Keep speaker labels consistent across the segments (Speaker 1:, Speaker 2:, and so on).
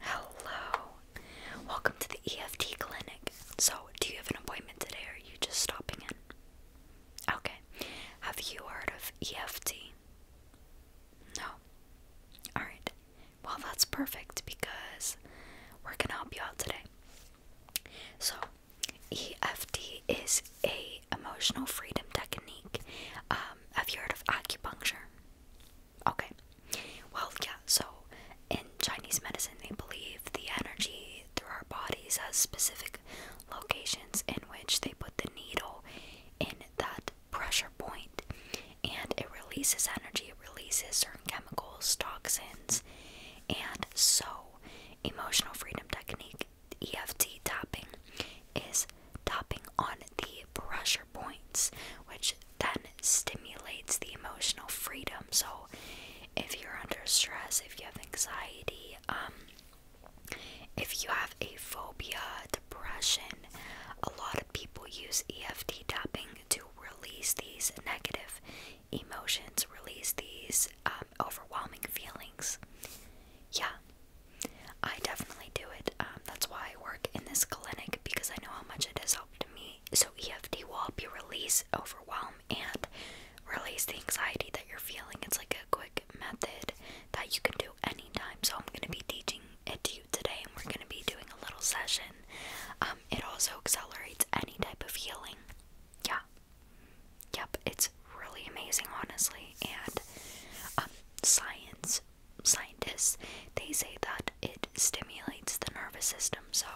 Speaker 1: Hello. Welcome to the EFT clinic. So, do you have an appointment today or are you just stopping in? Okay. Have you heard of EFT? No. Alright. Well, that's perfect because we're going to help you out today. So, EFT is a emotional freedom technique. Um, have you heard of acupuncture? Okay. Well, yeah. So in Chinese medicine, they believe the energy through our bodies has specific locations in which they put the needle in that pressure point, and it releases energy. It releases certain chemicals, toxins, and so emotional freedom technique EFT tapping is tapping on the pressure points, which then stimulates the emotional freedom. So, if you're under stress, if you have anxiety, um, if you have a phobia, depression, a lot of people use EFT tapping to release these negative emotions, release these um, overwhelming feelings. Yeah, I definitely do it. Um, that's why I work in this clinic because I know how much it has helped me. So EFT will help you release overwhelm and release the anxiety that you're feeling. It's like a quick method that you can do anytime. So I'm gonna be teaching it to you today, and we're gonna be doing a little session. Um, it also accelerates any type of healing. Yeah. Yep, it's really amazing, honestly. And um, science scientists they say that it stimulates the nervous system so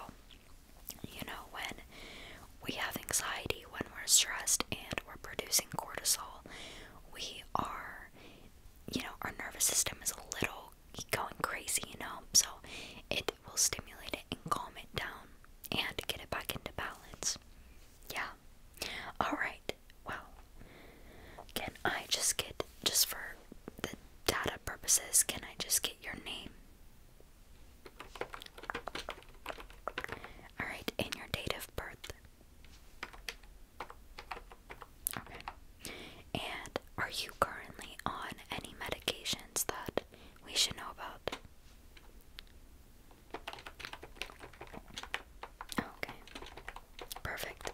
Speaker 1: you know when we have anxiety when we're stressed and we're producing cortisol we are you know our nervous system is a little going crazy you know so it will stimulate it and calm it down and get it back into balance yeah. Alright, well, can I just get, just for the data purposes, can I just get your name? Alright, and your date of birth. And are you currently on any medications that we should know about? Okay. Perfect.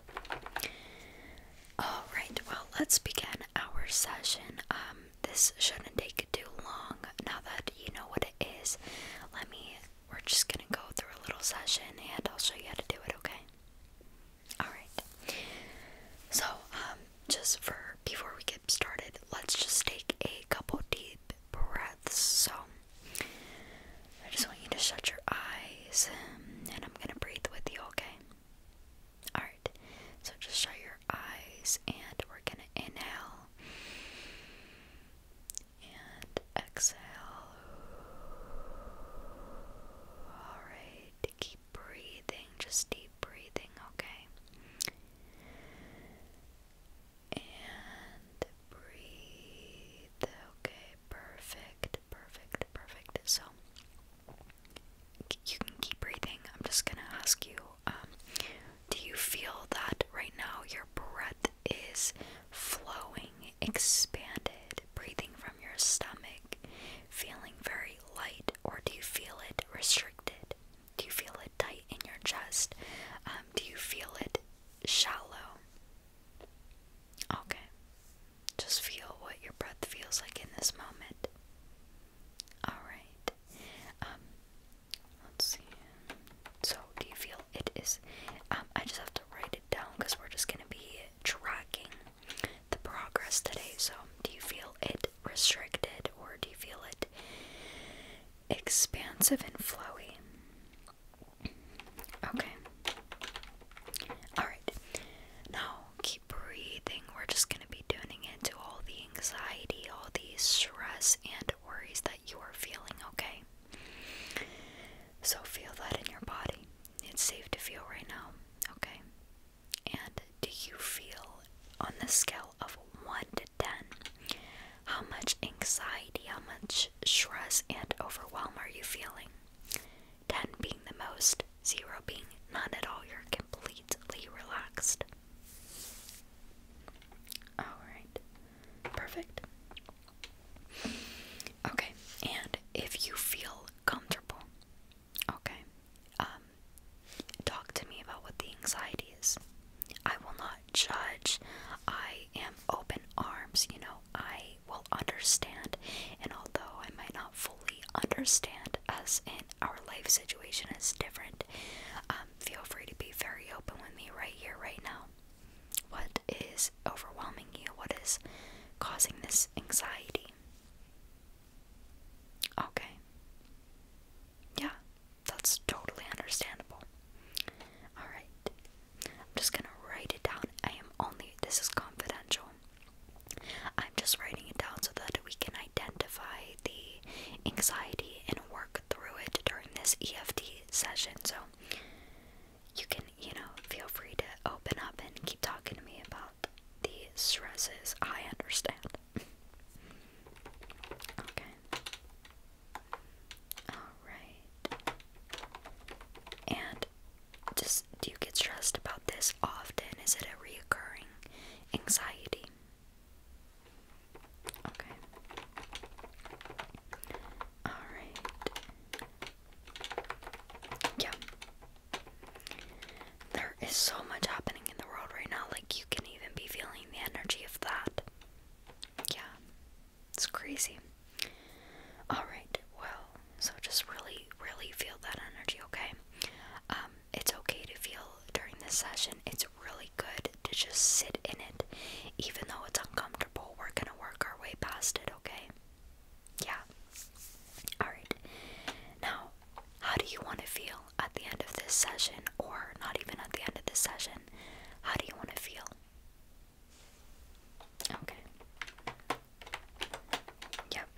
Speaker 1: Alright, well, let's begin our session. Um, this shouldn't take too long. Now that you know what it is, let me, we're just gonna go through a little session and I'll show you how to do it, okay? Alright. So, um, just for, before we get started, let's just take a couple deep breaths. So, I just want you to shut your eyes and I'm going to breathe with you, okay? Alright, so just shut your eyes and we're going to inhale and exhale. Alright, keep breathing, just deep breathing, okay? And breathe. Okay, perfect, perfect, perfect. So you can keep breathing. I'm just gonna ask you, um, do you feel that right now your breath is flowing, expanded, breathing from your stomach, feeling very light, or do you feel it restricted? Do you feel it tight in your chest? Um, do you feel it shallow? Okay. Just feel what your breath feels like in this moment. Alright. Um, let's see. So do you feel it is um, I just have to write it down because we're just gonna be tracking the progress today. So do you feel it restricted or do you feel it expansive and flowy? Okay. Alright. Now keep breathing. We're just going to be tuning into all the anxiety, all the stress, and worries that you are feeling, okay? So feel that in your body. It's safe to feel right now, okay? And do you feel on the scale of 1 to 10? How much anxiety, how much stress, and overwhelm are you feeling? 10 being the most, 0 being none at all. You're completely relaxed. Alright, perfect. Okay, and if you feel comfortable, okay, um, talk to me about what the anxiety is. I will not judge. I am open arms, you know, I will understand, and although I might not fully understand us and our life situation is different, um, feel free to be very open with me right here, right now. What is overwhelming you? What is causing this anxiety? Okay. Yeah, that's totally understandable. Alright, I'm just gonna write it down. I am only, this is confidential. I'm just writing it down so that we can identify the anxiety and work through it during this EFT session. So you can, you know, feel free to open up and keep talking to me about the stresses. I understand. okay. Alright. And just do you get stressed about this often? Is it a reoccurring anxiety? Okay. Alright. Yeah. There is so much happening in the world right now, like you can even be feeling the energy of that. Yeah. It's crazy. Alright, well, so just really, really feel that energy, okay? Um, it's okay to feel during this session. It's really good to just sit in it. Even though it's uncomfortable, we're gonna work our way past it, okay? Yeah. Alright. Now, how do you want to feel at the end of this session, or not even at the end of this session? How do you want to feel? Okay. Yep.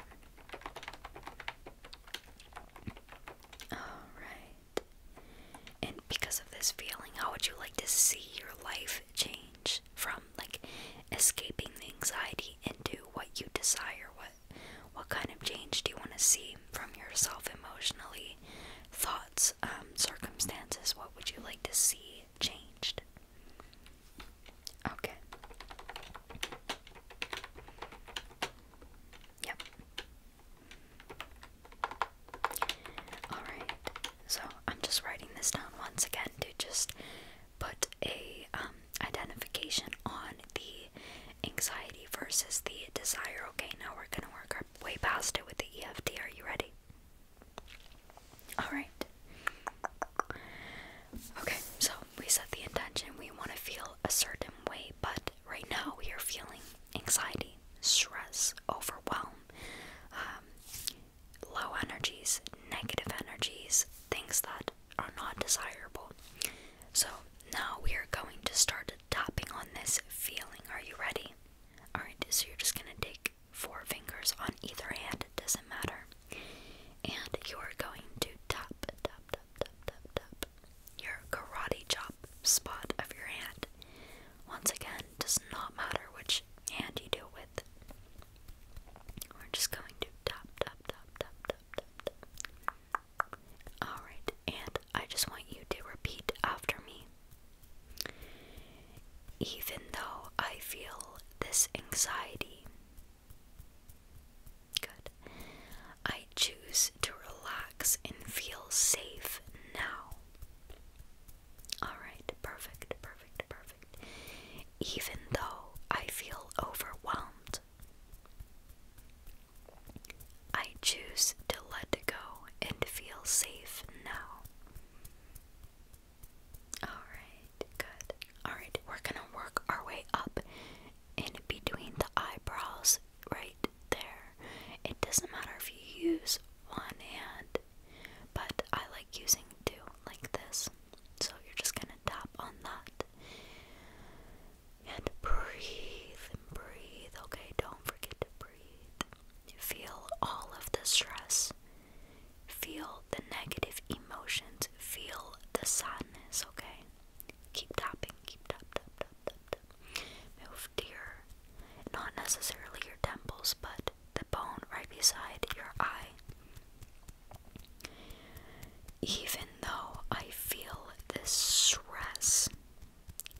Speaker 1: All right. And because of this feeling, how would you like to see your life change from like escaping the anxiety into what you desire? What what kind of change do you want to see from yourself emotionally? Thoughts, um, circumstances, what would you like to see changed? Okay. Yep. Alright, so I'm just writing this down once again to just put a um, identification on the anxiety versus the desire. Okay, now we're gonna work our way past it with the EFT. Are you ready? Alright. Okay, so we set the intention. We want to feel a certain way, but right now we are feeling anxiety, stress, overwhelm, um, low energies, negative energies, things that are not desirable. So now we are going to start tapping on this feeling. Are you ready? Alright, so you're just going to take four fingers on either hand, it doesn't matter. And you are going to tap, tap, tap, tap, tap, tap your karate chop spot of your hand. Once again, does not matter which hand you do it with. We're just going to tap, tap, tap, tap, tap, tap, tap. Alright, and I just want you to repeat after me even though I feel this anxiety. Good. I choose to relax and feel safe now. Alright, perfect, perfect, perfect. Even though I feel overwhelmed, I choose to let go and feel safe now. Alright, good. Alright, we're gonna work our way up in between the eyebrows right there. It doesn't matter if you use one hand, but I like using two like this. So you're just gonna tap on that and breathe and breathe. Okay, don't forget to breathe. Feel all of the stress Feel the negative emotions. Feel the sadness, okay? Keep tapping, keep tap, tap, tap, tap, Move dear, not necessarily your temples, but the bone right beside your eye. Even though I feel this stress,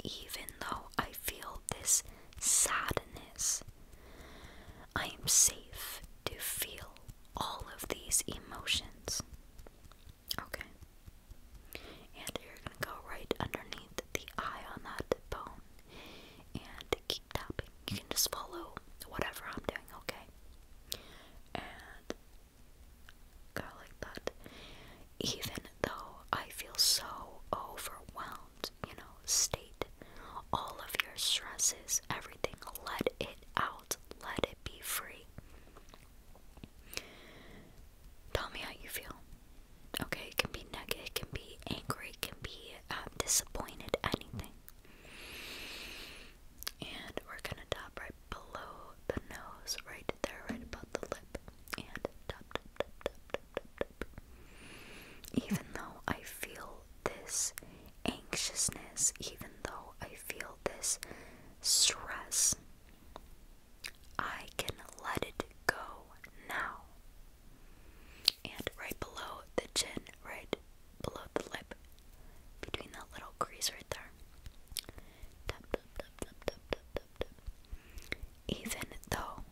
Speaker 1: even though I feel this sadness, I am safe to feel all of these emotions. Okay. And you're going to go right underneath the eye on that bone and keep tapping. You can just follow whatever I'm doing, okay? And go like that. Even though I feel so overwhelmed just, you know, state all of your stresses, everything. Let it out. Let it be free. Tell me how you feel. Okay, it can be negative, it can be angry, it can be um, disappointed, anything. And we're gonna tap right below the nose, right there, right above the lip. And tap, tap, tap, tap, tap, tap, tap. Even though I feel this anxiousness, even though I feel this stress. I can let it go now. And right below the chin, right below the lip, between that little crease right there. Even though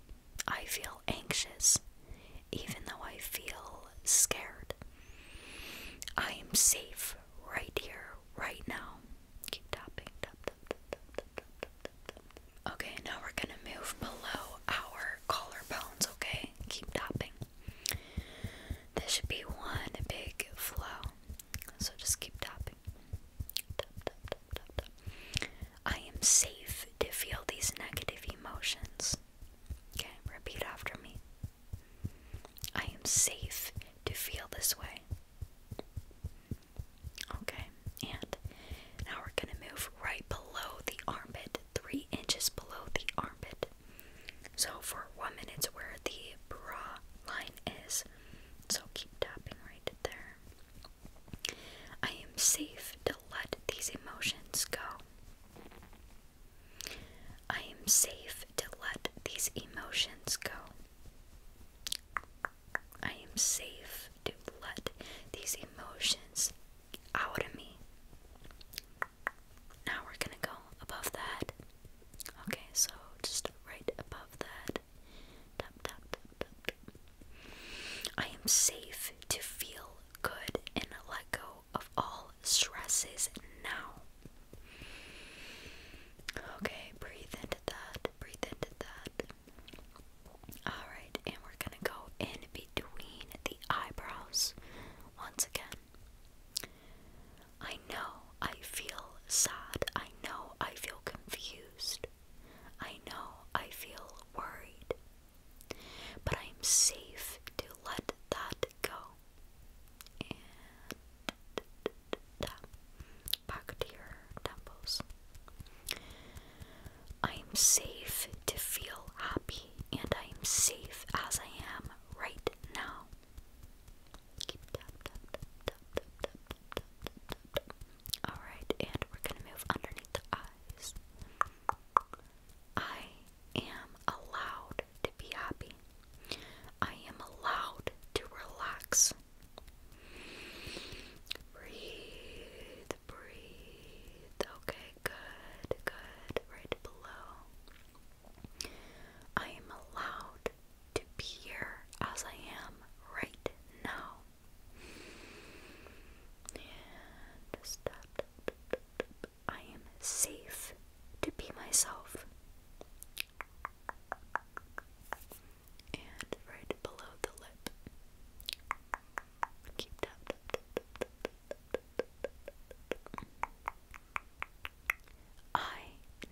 Speaker 1: I feel anxious, even though I feel scared. I am safe right here, right now. Okay, now we're gonna move below our collarbones, okay? Keep tapping. This should be one big flow. So just keep tapping. I am safe to feel these negative emotions. Okay, repeat after me. I am safe to feel this way. Okay, and now we're going to move right below the armpit, three inches below the armpit. So for one minute's where the bra line is. So keep tapping right there. I am safe to let these emotions go. I am safe to let these emotions go. I am safe to let these emotions out of me. Now we're gonna go above that. Okay, so just right above that. Tap, tap, tap, tap, I am safe to feel good and let go of all stresses now. Okay, breathe into that, breathe into that. Alright, and we're gonna go in between the eyebrows once again. I know I feel sad. I know I feel confused. I know I feel worried. But I am safe to let that go. back to your temples. I am safe to feel happy, and I am safe as I am right now. All right, and we're gonna move underneath the eyes. I am allowed to be happy. I am allowed to relax. Breathe, breathe. Okay, good, good. Right below. I am allowed to be here as I am right now. And stop. I am safe to be myself. And right below the lip. I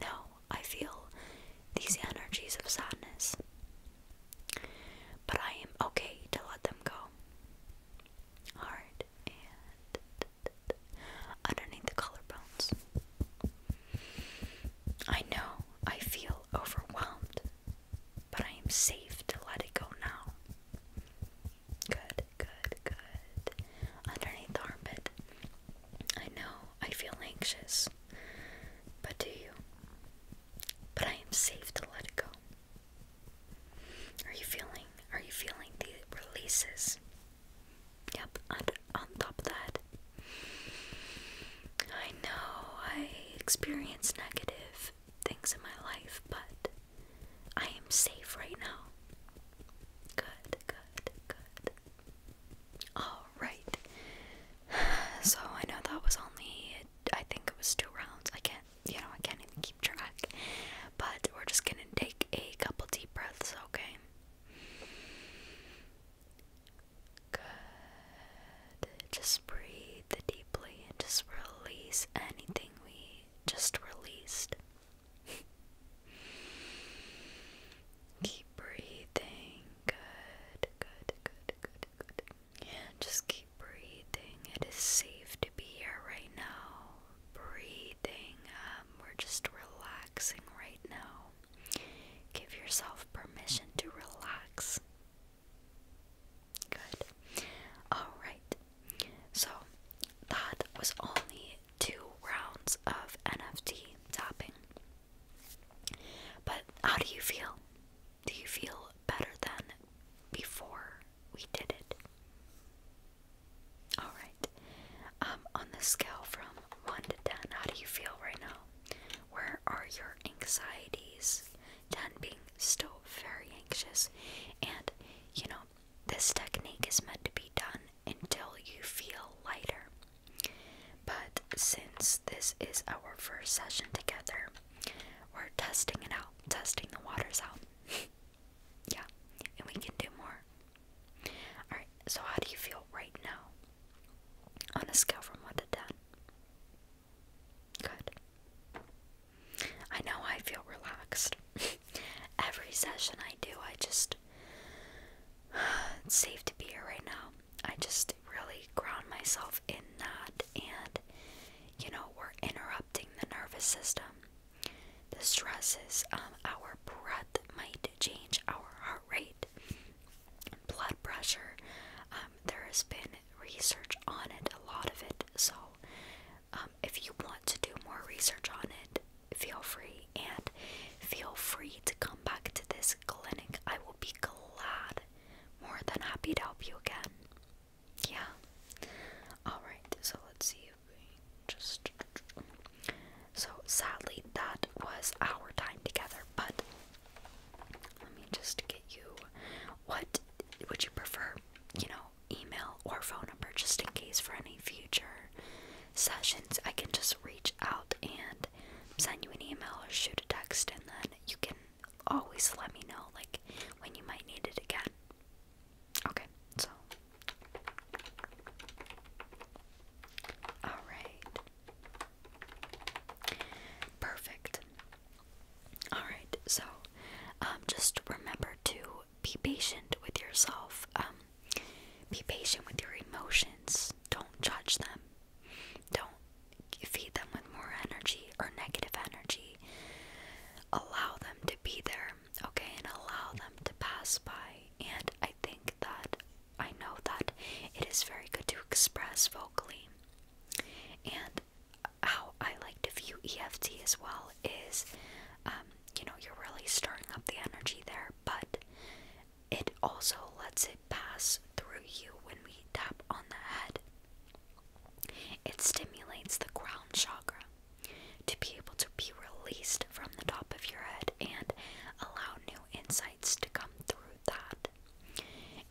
Speaker 1: know I feel these energies of sadness. But I am okay to let them go. Alright, and underneath the collarbones. I know I feel overwhelmed, but I am safe to let it go now. Good, good, good. Underneath the armpit. I know I feel anxious, but do you? But I am safe to let it go. Are you feeling? Are you feeling the releases? Yep, and on top of that, I know I experience negative things in my life, but I am safe right now. Good, good, good. Alright. So I know that was only, I think it was two rounds. I can't you know, I can't even keep track. But we're just gonna take a couple deep breaths, okay? Good. Just breathe deeply and just release anything we just released. keep breathing. Good, good, good, good, good. And just keep breathing. It is safe to be here right now breathing. Um, we're just relaxing right now. Give yourself permission to relax. Good. Alright. So, that was only two rounds of NFT tapping. But how do you feel? Do you feel better than before we did it? Alright. Um, on the scale from 1 to 10, how do you feel right now? Where are your anxieties? 10 being still very anxious. And, you know, this technique is meant to be done until you feel lighter. But since this is our first session together, we're testing it out, testing the waters out. yeah, and we can do more. Alright, so how do you feel right now? On a scale from 1 to 10. Good. I know I feel relaxed. Every session I do, I just. It's safe to be here right now. I just really ground myself in that, and you know, we're interrupting the nervous system. The stresses of um, our breath might change our heart rate, blood pressure. Um, there has been research on it, a lot of it. So, um, if you want to do more research on it, feel free and feel free to come back to this clinic. I will be glad, more than happy to help you again. Yeah. Alright, so let's see just so sadly that was our time together but let me just get you what would you prefer you know email or phone number just in case for any future sessions i can just reach out and send you an email or shoot a text and then you can always let me know like when you might need it again Okay, so. Alright. Perfect. Alright, so um, just remember to be patient with yourself. Um, be patient with your emotions. Don't judge them. Don't feed them with more energy or negative energy. Allow them to be there okay, and allow them to pass by. And I think that I know that it is very good to express vocally. And how I like to view EFT as well is, um, you know, you're really stirring up the energy there, but it also lets it pass through you when we tap on the head. It stimulates the crown chakra to be able to be released from the top of your head and allow new insights to come through that.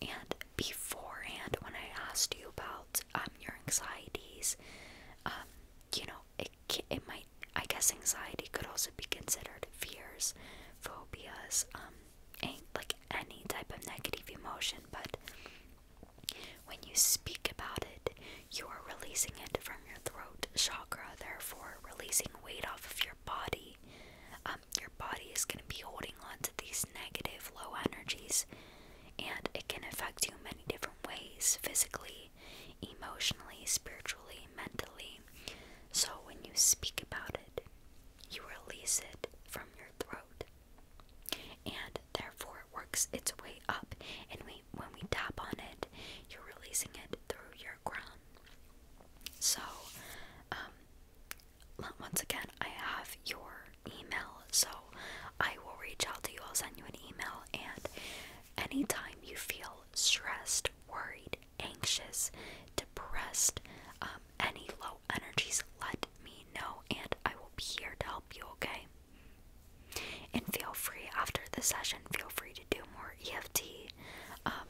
Speaker 1: And beforehand, when I asked you about um, your anxieties, um, you know, it, it might, I guess anxiety could also be considered fears, phobias, um, like any type of negative emotion, but when you speak about it, you are releasing it from your throat chakra, therefore releasing weight off of your body. Um, your body is going to be holding onto these negative, low energies, and it can affect you many different ways physically, emotionally, spiritually, mentally. So when you speak about it, you release it from your throat, and therefore it works its way up. And we when we tap on it, you're releasing it through your ground. So, um, once again, I have your email, so I will reach out to you. I'll send you an email, and anytime you feel stressed, worried, anxious, depressed, um, any low energies, let me know, and I will be here to help you. Okay. And feel free after the session, feel free to do more EFT, um,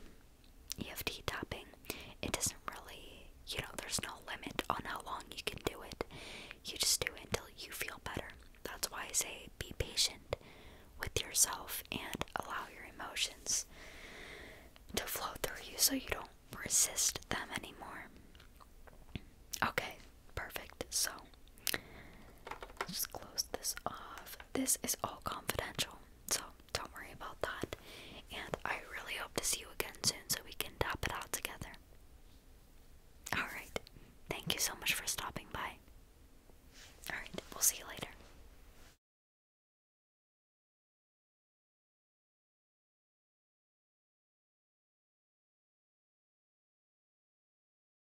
Speaker 1: EFT tapping. It doesn't really, you know, there's no limit on how long you can do it. You just do it until you feel better. That's why I say be patient with yourself and allow your emotions to flow through you so you don't resist them anymore. Okay, Perfect. So just close this off. This is all confidential, so don't worry about that. And I really hope to see you again soon so we can tap it out together. Alright. Thank you so much for stopping by. Alright, we'll see you later.